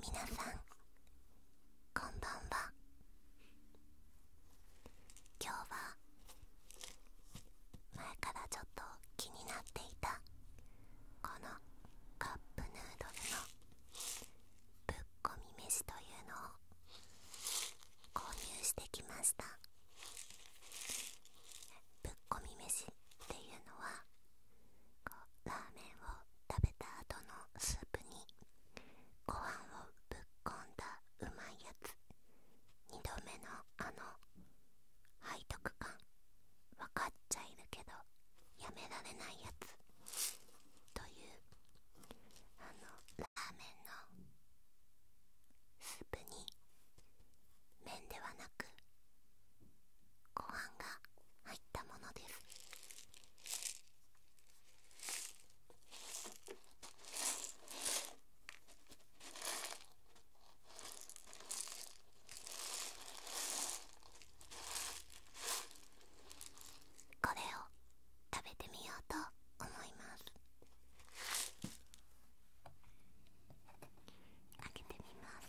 皆さんこんばんは今日は前からちょっと気になっていたこのカップヌードルのぶっこみ飯というのを購入してきましたぶっこみ飯っていうのはラーメンを食べた後のスープにご飯をぶっこんだうまいやつ2度目のあの背徳感分かっちゃいるけどやめられないやつというあのラーメンのスープに麺ではなくご飯が入ったものですこれを食べてみようと思いますあけてみます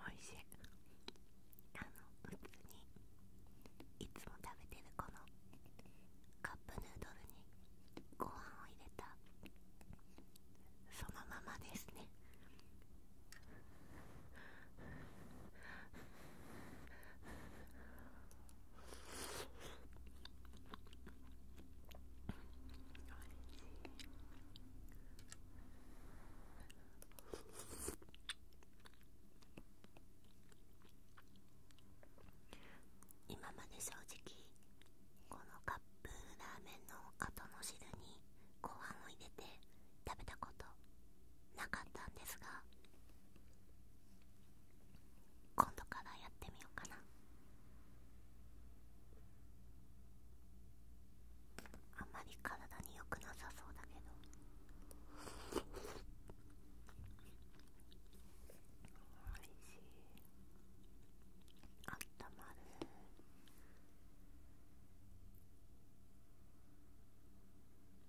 おいしいあの普通にいつも食べてるこのカップヌードルにご飯を入れたそのままですね今まで正直このカップラーメンの後の汁にご飯を入れて食べたことなかったんですが今度からやってみようかなあんまり体に良くなさそうだけどおいしいあったまる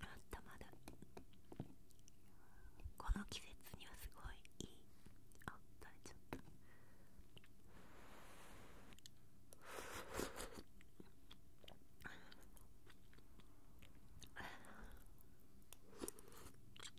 あったまるこの季節にはすごいいいあっ垂れちゃった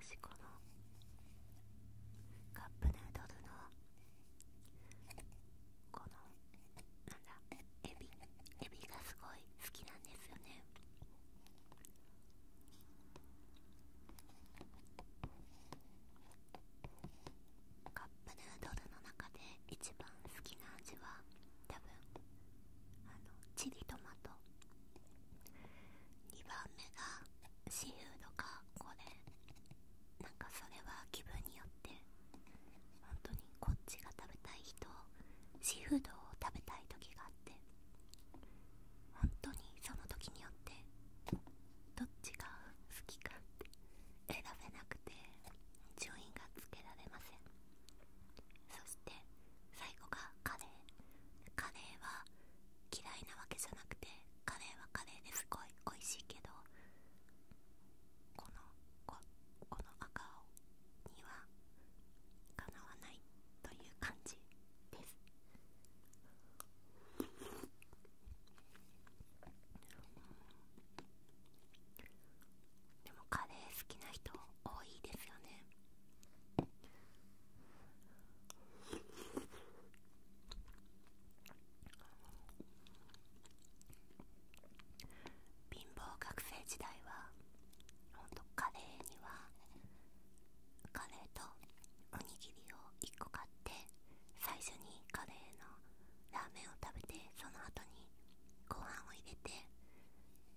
私このカップヌードルのこのなんだエビエビがすごい好きなんですよねカップヌードルの中で一番好きな味は多分あのチリトマト2番目がシーフードかこれなんかそれは気分によって本当にこっちが食べたい人シーフードを食べたい時があって本当にその時によってどっちが好きかって選べなくて順位がつけられませんそして最後がカレーカレーは嫌いなわけじゃなくてカレーはカレーですごい美味しいけどこのここの赤青にはかなわないという感じですでもカレー好きな人多いですよね貧乏学生時代はほんとカレーにはカレーとおにぎりを1個買って最初にカレーのラーメンを食べてその後にご飯を入れて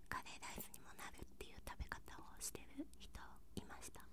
カレーライスにもなるっていう食べ方をしてる人いました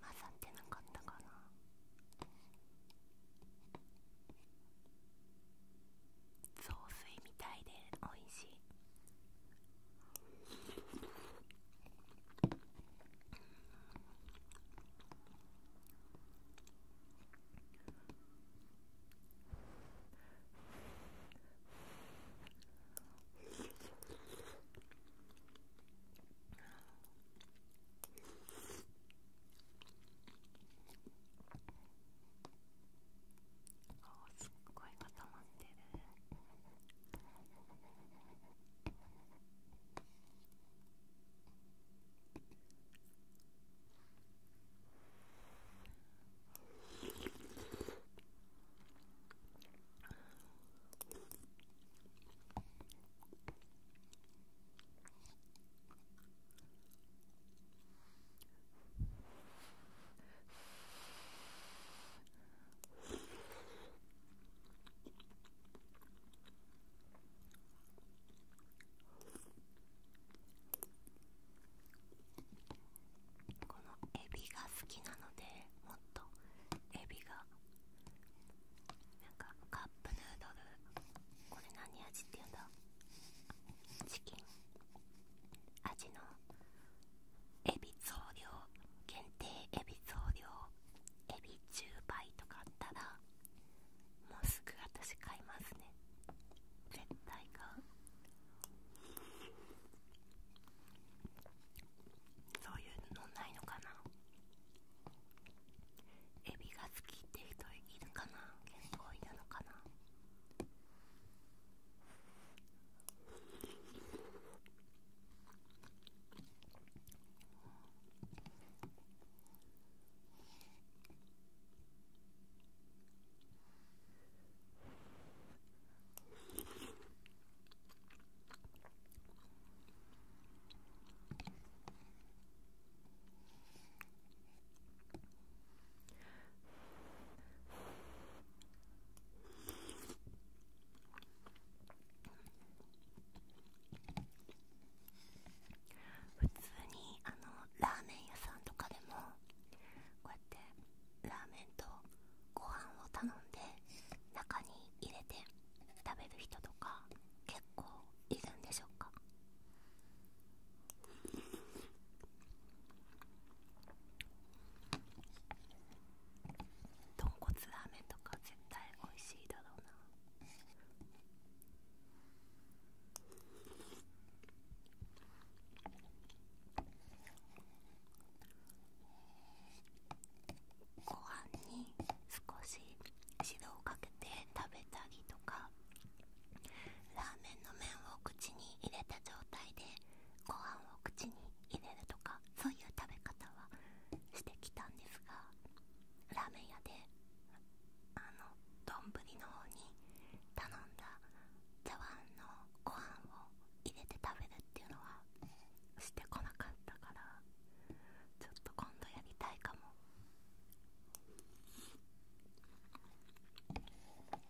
混ざってなかったかな雑炊みたいでおいしいああ、すっごい固まってるこのエビが好きなのでもっとエビがなんかカップヌードルこれ何味って言うんだチキン味のエビ増量限定エビ増量エビ10倍とかあったらもうすぐ私買いますね絶対買うそういうのないのかなエビが好きって人いるかな結構いるのかな普通にあのラーメン屋さんとかでもこうやってラーメンとご飯を頼んで中に入れて食べる人とか結構いるんでしょうか豚骨ラーメンとか絶対美味しいだろうなご飯に少し汁をかけて食べたりとかラーメンの麺を口に入れた状態でご飯を口に入れるとかそういう食べ方はしてきたんですがラーメン屋であの丼の方に頼んだ茶碗のご飯を入れて食べるっていうのはしてこなかったからちょっと今度やりたいかもなくなっちゃっ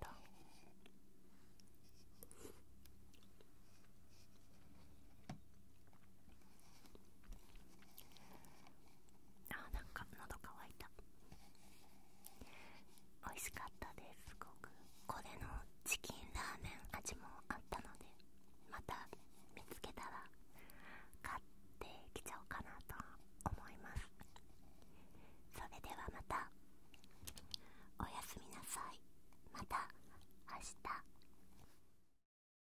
た。あなんか喉乾いた美味しかったですすごくこれのチキンラーメン味もあったのでまた見つけたら買ってきちゃおうかなと思いますそれではまたおやすみなさいまた明日